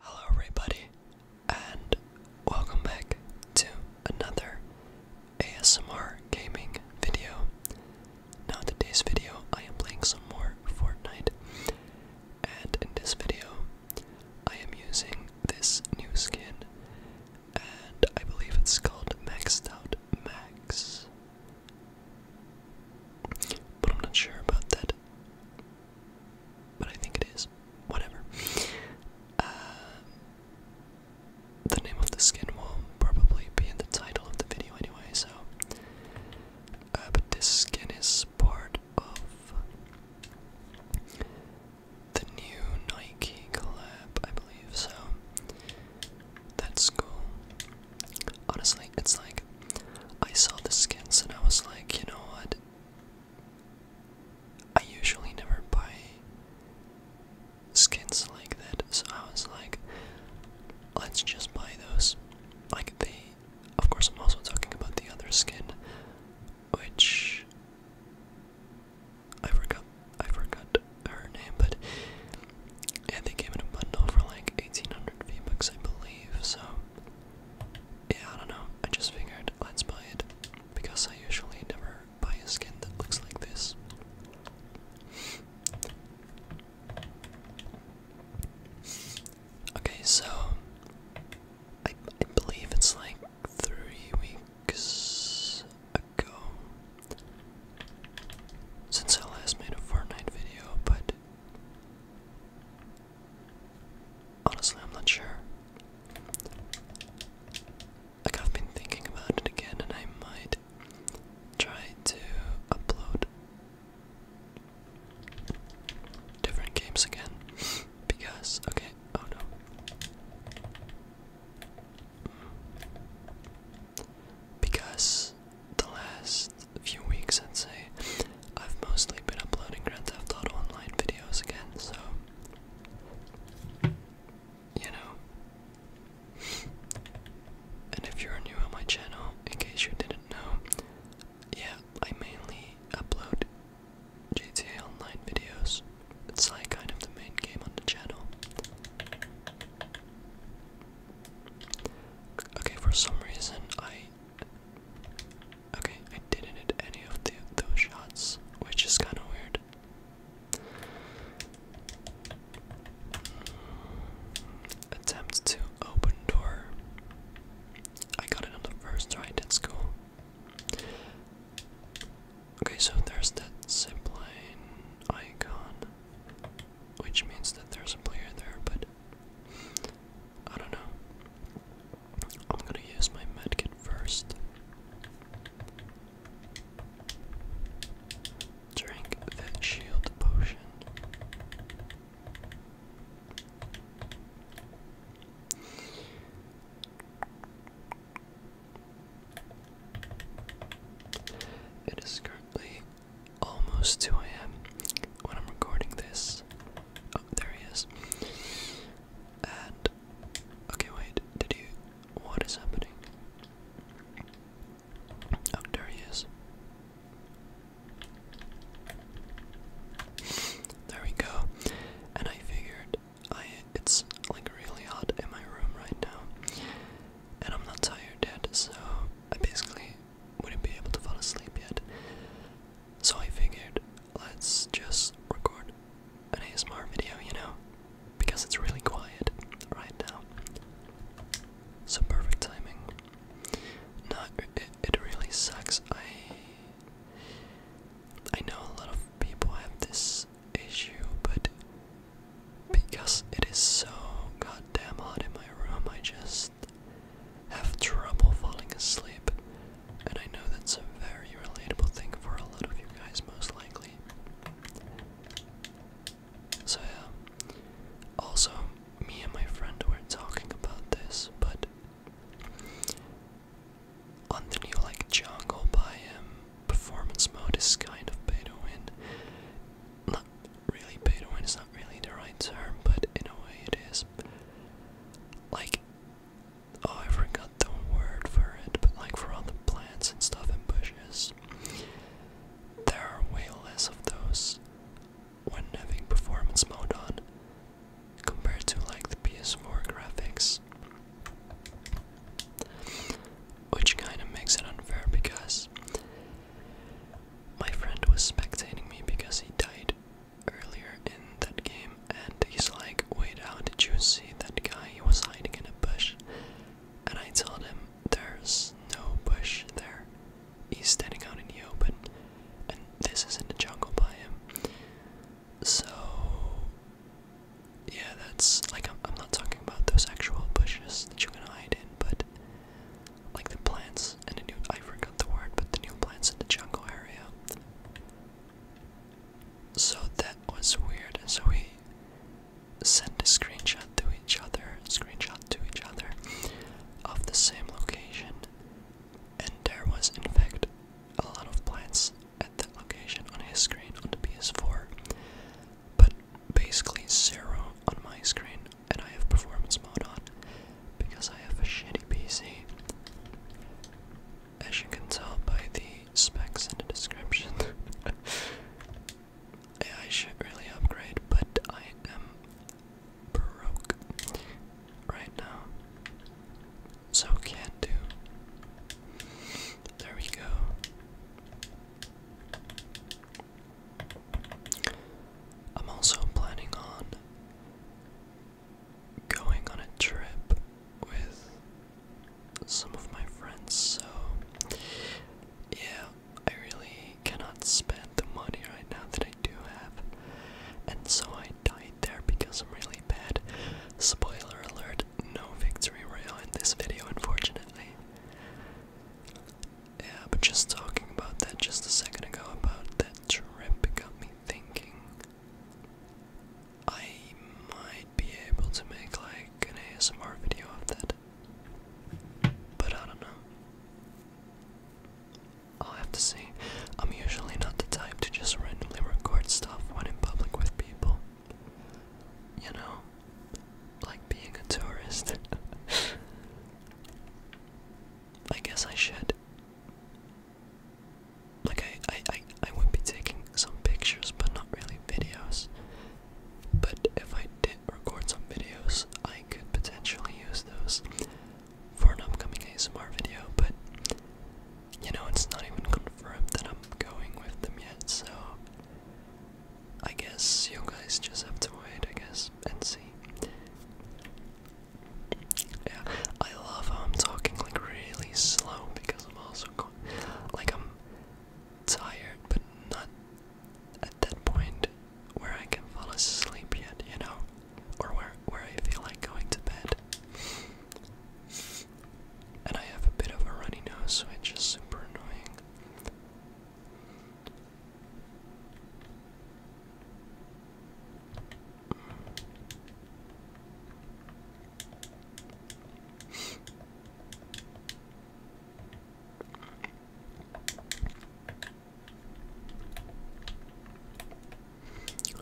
Hello, everybody, and welcome back to another ASMR gaming video. Now, in today's video, I am playing some more Fortnite, and in this video, I am using this new skin, and I believe it's called Maxed Out Max, but I'm not sure about that but I think it is. Whatever. Uh, the name of the skin will probably be in the title of the video anyway, so. Uh, but this skin is part of the new Nike collab, I believe, so that's cool. Honestly, it's like I saw the skins and I was like, you know what? I usually never buy skins like that, so I was like, let's just buy those. Like, they. Of course, I'm also talking about the other skin, which. I forgot. I forgot her name, but. Yeah, they came in a bundle for like 1800 V bucks, I believe, so. Yeah, I don't know. I just figured let's buy it because I usually never buy a skin that looks like this. okay, so I, believe it's like three weeks ago since I last made a Fortnite video, but Honestly, I'm not sure. Like, I've been thinking about it again, and I might try to upload different games again. because, okay, oh no. Because the last few weeks, I'd say, I've mostly been uploading Grand Theft Auto Online videos again, so you know. and if you're new on my channel, in case you didn't know, yeah, I mainly upload GTA Online videos. It's like kind of the main game on the channel. Okay, for some reason I Okay, I didn't hit any of those shots, which is kind of weird. Attempt to open door. I got it on the first try, that's cool. Okay, so there's that zipline icon, which means that there's a player there, but I don't know. I'm gonna use my medkit first. Drink the shield potion. It is currently almost 2 a.m. when I'm recording this. Oh, there he is. And okay, wait. Did you? What is happening? Oh, there he is. There we go. And I figured I it's like really hot in my room right now. And I'm not tired yet, so I basically wouldn't be able to fall asleep yet. So I figured let's just record an ASMR video, you know, because it's really quiet right now. So perfect timing. No, it really sucks. I I know a lot of people have this issue, but because it is so goddamn hot in my room, I just have trouble falling asleep, and I know that's a very relatable thing for a lot of you guys, most likely. So, yeah. Also, me and my friend were talking about this, but on the new, like, jungle by um performance mode is kind of pay to Not really pay to it's not really the right term, but in a way it is. Like, oh, I forgot the word for it, but like for all the plants and stuff and bushes, there are way less of those when having performance mode on compared to like the PS4 graphics. Which kind of makes it unfair because my friend was spectating me because he died earlier in that game, and he's like, Wait, how did you see that guy? He was hiding in a bush. And I told him, There's no bush there. He's standing out in the open, and this is in the jungle by him. So, yeah, that's like I'm not talking about those actual bushes that you can hide in, but like the plants and a new I forgot the word, but the new plants in the jungle area. So that was weird, and so we sent a screenshot to each other, screenshot to each other of the same location, and there was in fact a lot of plants at that location on his screen on the PS4, but basically zero on my screen, and I have performance mode on because I have a shitty PC. As you can tell by the specs in the description, I should really upgrade, but I am broke right now. So can't do. There we go. I'm also planning on going on a trip with some of my friends, so yeah, I really cannot spend the money right now that I do have. And so I died there because I'm really bad. Spoiler alert, no victory royale in this video, unfortunately. Yeah, but just talking about that just a second ago about that trip got me thinking I might be able to make like an ASMR video of that. But I don't know. I'll have to see. I'm usually not the type to just randomly record stuff when in public with people. You know? Like being a tourist. I guess I should. Like I, I, I, would be taking some pictures, but not really videos. But if I did record some videos, I could potentially use those for an upcoming ASMR video. But you know, it's not even confirmed that I'm going with them yet, so I guess you guys just have to wait, I guess, and see. Yeah, I love how I'm um, talking like really slow because I'm also going, like I'm tired, but not at that point where I can fall asleep yet, you know, or where where I feel like going to bed. And I have a bit of a runny nose, so it's just super annoying.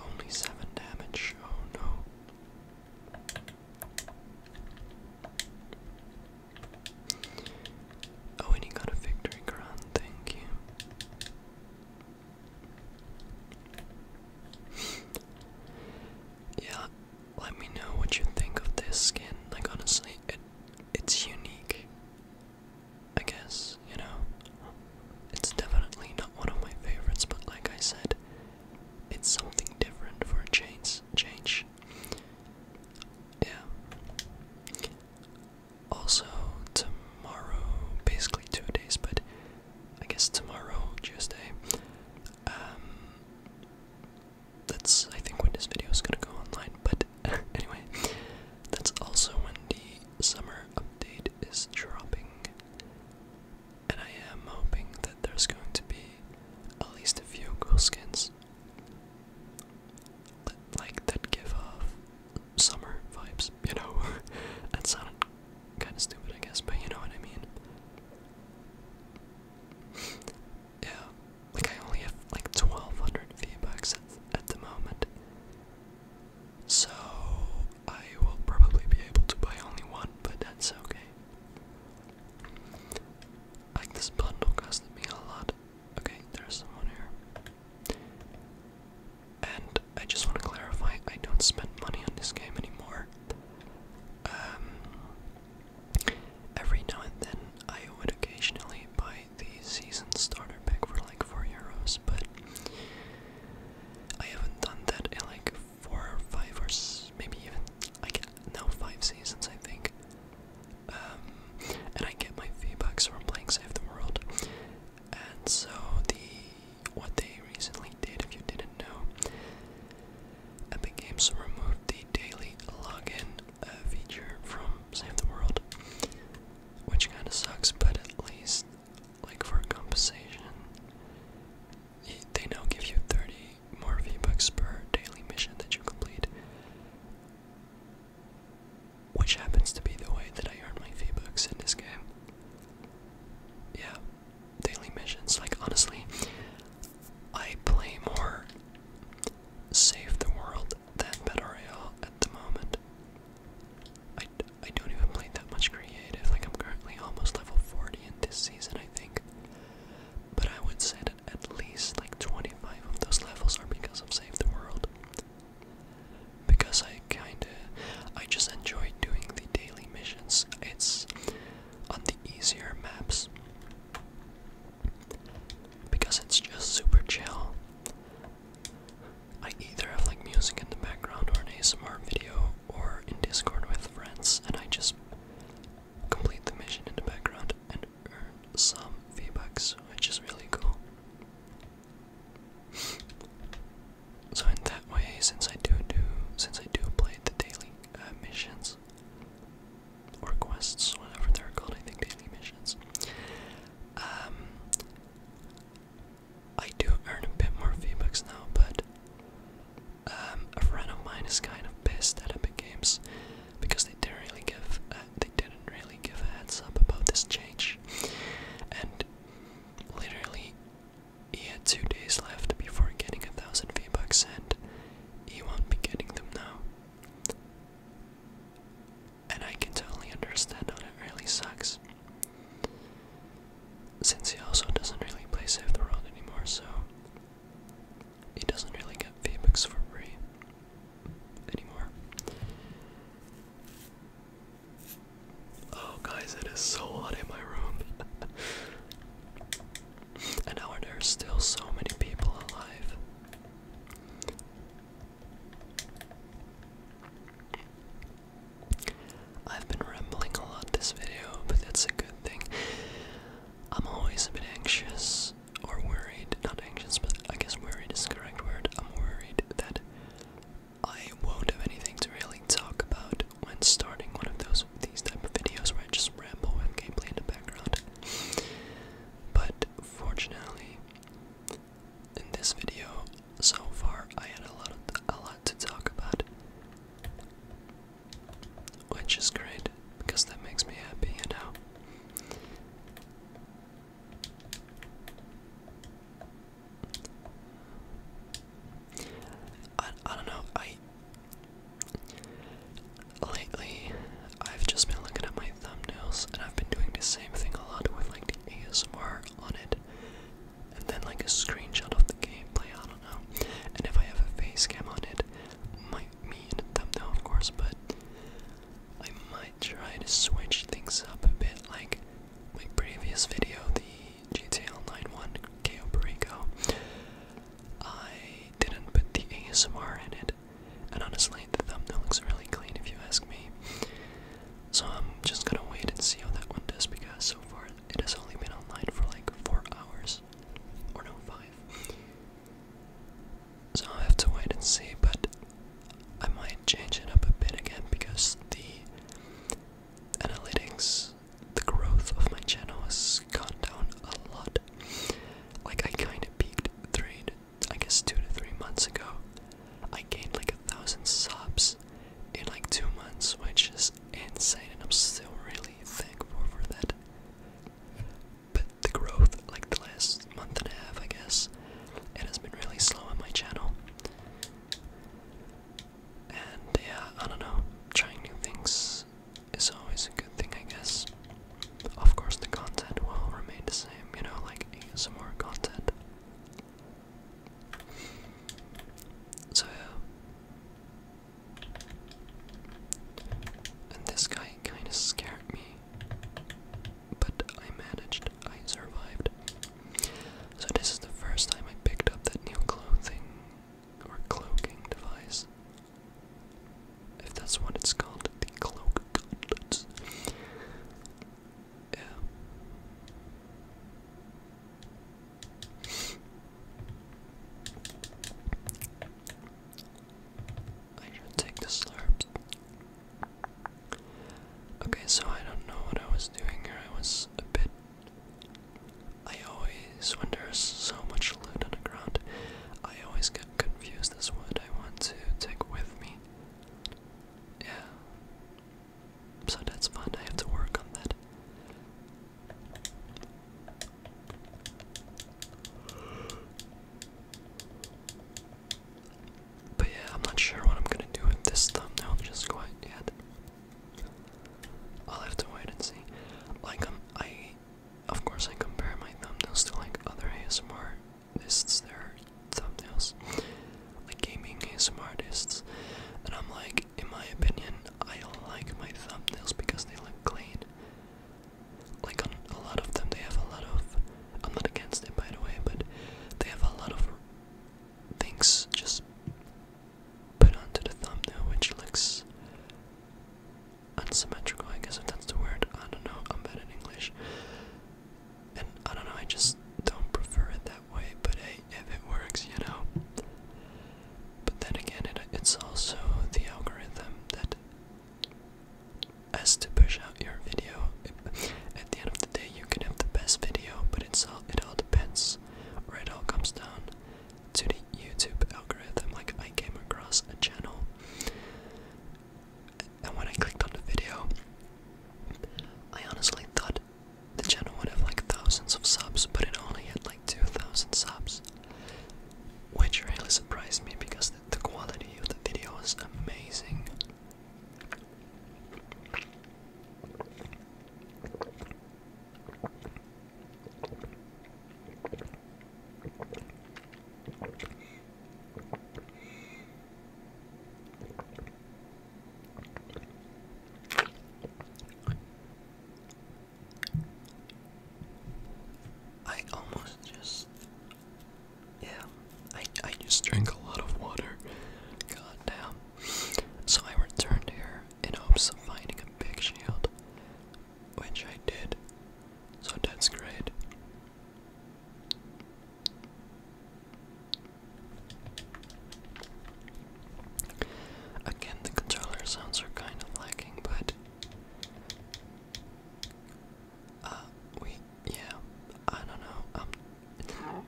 Only seven damage. Oh no. Oh, and he got a victory crown. Thank you yeah, let me know what you think of this skin. Like honestly, it it's unique. I guess, you know. It's definitely not one of my favorites, but like I said, it's something different for a change change. Yeah. Also, tomorrow, basically two days, but I guess tomorrow, Tuesday, um, that's I think when this video is gonna go online, but anyway, that's also when the summer update is dropping. And I am hoping that there's going to be at least a few cool skins like that give off summer vibes, you know? that sounded kind of stupid, I guess, but you know what I mean? yeah, like I only have like 1200 V-Bucks at, at the moment. So, I will probably be able to buy only one, but that's okay. Like, this bundle costed me a lot. Okay, there's someone here. And I just want to clarify, I don't spend money on this game anymore. Um, every now and then, I would occasionally buy the season starter pack for like 4 euros, but I haven't done that in like 4 or 5 or maybe even, like, now 5 seasons, I think. Um, and I get my v from playing Save the World. And so the what they recently did, if you didn't know, Epic Games removed the daily login uh, feature from Save the World, which kind of sucks. But at least, like for compensation, they now give you 30 more feedbacks per daily mission that you complete which happens to be the way that I earn my V books in this game. Yeah, daily missions. Like, honestly, I play more Save the World than Battle Royale at the moment. I, I don't even play that much creative. Like, I'm currently almost level 40 in this season, I think. But I would say at least like 25 of those levels are because of Save the World because I kinda I just enjoy doing the daily missions. It's on the easier maps because it's just super chill. I either have like music in the background or an ASMR video or in Discord with friends and I just complete the mission in the background and earn some feedbacks, which is really cool. So in that way, since I do do, since I do play the daily uh, missions or quests, whatever they're called, I think daily missions. Um, I do earn a bit more v now, but um, a friend of mine is kind of pissed at Epic Games because they didn't really give uh, they didn't really give a heads up about this change, and literally, he had two days left before getting a thousand V bucks, and he won't be getting them now. And I can totally understand how it really sucks. Since he also doesn't really play Save the World anymore, so he doesn't really get V bucks for free anymore. Oh, guys, it is so hot in my room. and now there are still so many people alive. I've been rambling a lot this video, but that's a good thing. I'm always a bit anxious or worried, not anxious, but I guess worried is the correct word. I'm worried that I won't have anything to really talk about when starting one of those these type of videos where I just ramble with gameplay in the background. But fortunately, in this video so far, I had a lot of, a lot to talk about, which is great because that makes me happy, you know. I, I don't know, I. Lately, I've just been looking at my thumbnails and I've been doing the same thing a lot with like the ASMR on it and then like a screenshot of the gameplay, I don't know. And if I have a face cam on it, might me in thumbnail of course, but I might try to switch things up a bit, like my previous video, the GTL91 1 KO I didn't put the ASMR in it, and honestly, the thumbnail looks really clean if you ask me. So I'm just gonna wait and see how that one does because so far it has only been online for like four hours, or no, five. So i have to wait and see, but I might change it up a bit again because the analytics, the growth of my channel has gone down a lot. Like I kind of peaked three, I guess two to three months ago. I gained like a thousand subs in like two months, which is insane, and I'm still really thankful for that. But the growth, like the last month and a half, I guess, it has been really slow on my channel. And yeah, I don't know. Trying new things is always a good thing, I guess. Of course, the content will remain the same, you know, like some more content. So yeah. And this guy kind of scared me but I managed. I survived. So this is the first time I picked up that new clothing or cloaking device. If that's what it's called, the cloak gauntlets. Yeah. I should take the slurps. Okay, so I don't know what I was doing here. I was a bit. I always, when so much loot on I always get confused as what I want to take with me. Yeah. So that's fun. I have to work on that. But yeah, I'm not sure what I'm gonna do with this thumbnail just quite yet. I'll have to wait and see. Like um, I, of course, I compare my thumbnails to like other ASMR artists, their thumbnails, like gaming ASMR artists, and I'm like, in my opinion, I like my thumbnails because they look clean. Like a lot of them, they have a lot of. I'm not against it, by the way, but they have a lot of things just put onto the thumbnail, which looks unsymmetrical, I guess if that's the word. I don't know, I'm bad in English. And I don't know, I just don't prefer it that way, but hey, if it works, you know. But then again, it's also the algorithm that has to push out your video. At the end of the day, you can have the best video, but it's all it all depends, or it all comes down to the YouTube algorithm. Like I came across a channel, and when I clicked on the video, I honestly thought the channel would have like thousands of subs, but it only had like two thousand subs, which really surprised me because the quality of the video was amazing. I almost just, yeah, I, I just drank a lot of water. God So I returned here in hopes of finding a big shield, which I did. So that's great. Again, the controller sounds are kind of lacking, but uh, we, yeah, I don't know. Um,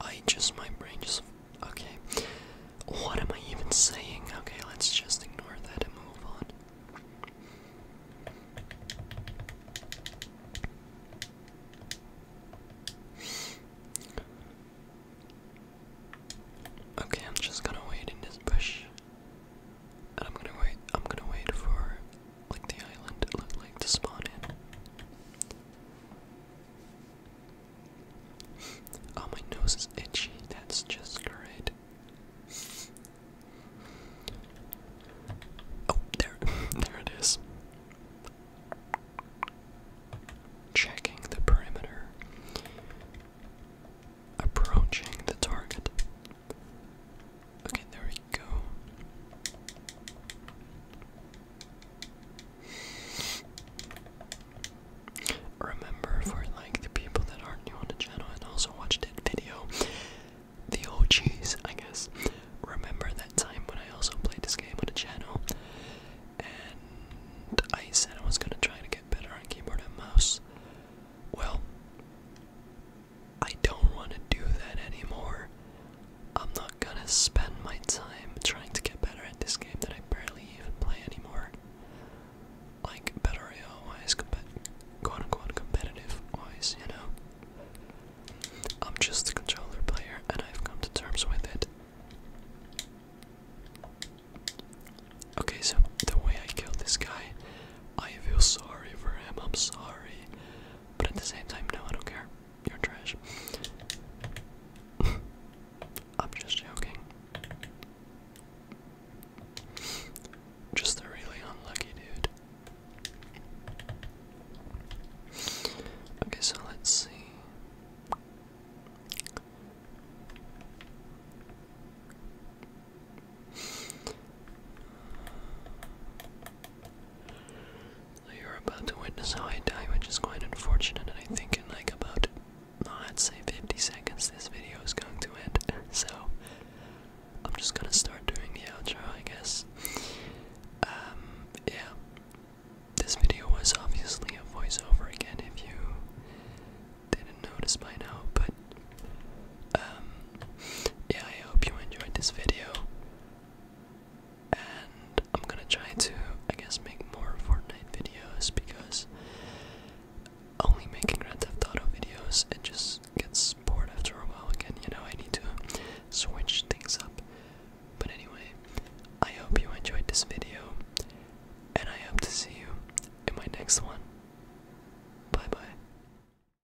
I just, my brain just, okay. What am I even saying? Okay, let's just ignore that and move on. Okay, I'm just gonna wait in this bush. I'm gonna wait I'm gonna wait for like the island it looked like to spawn in. Oh my nose is itchy, that's just great. Oh there there it is. Checking the perimeter. Approaching the target. Okay, there we go. Remember for like the people that aren't new on the channel and also watched that video, the OGs, I guess. Remember that time when I also played this game on the channel and I said I was gonna try to get better on keyboard and mouse. Well, I don't want to do that anymore. I'm not gonna spend my time trying to get better at this game that I barely even play anymore. Like, better wise, quote unquote competitive wise, you know? I'm just a controller player and I've come to terms with it. Okay, so the way I killed this guy, I feel sorry for him, I'm sorry. But at the same time, no, I don't care. You're trash. I'm just joking. Just a really unlucky dude. Okay, so let's see. You're about to witness how I die, which is quite unfortunate, and I think in like about, oh, let say 50 seconds this video is going to end, so I'm just gonna start doing the outro, I guess. Um, yeah. This video was obviously a voiceover again, if you didn't notice by now, but, um, yeah, I hope you enjoyed this video. And I'm gonna try to, I guess, make more Fortnite videos because only making Grand Theft Auto videos, it just gets bored after a while again. You know, I need to switch things up. But anyway, I hope you enjoyed this video, and I hope to see you in my next one. Bye bye.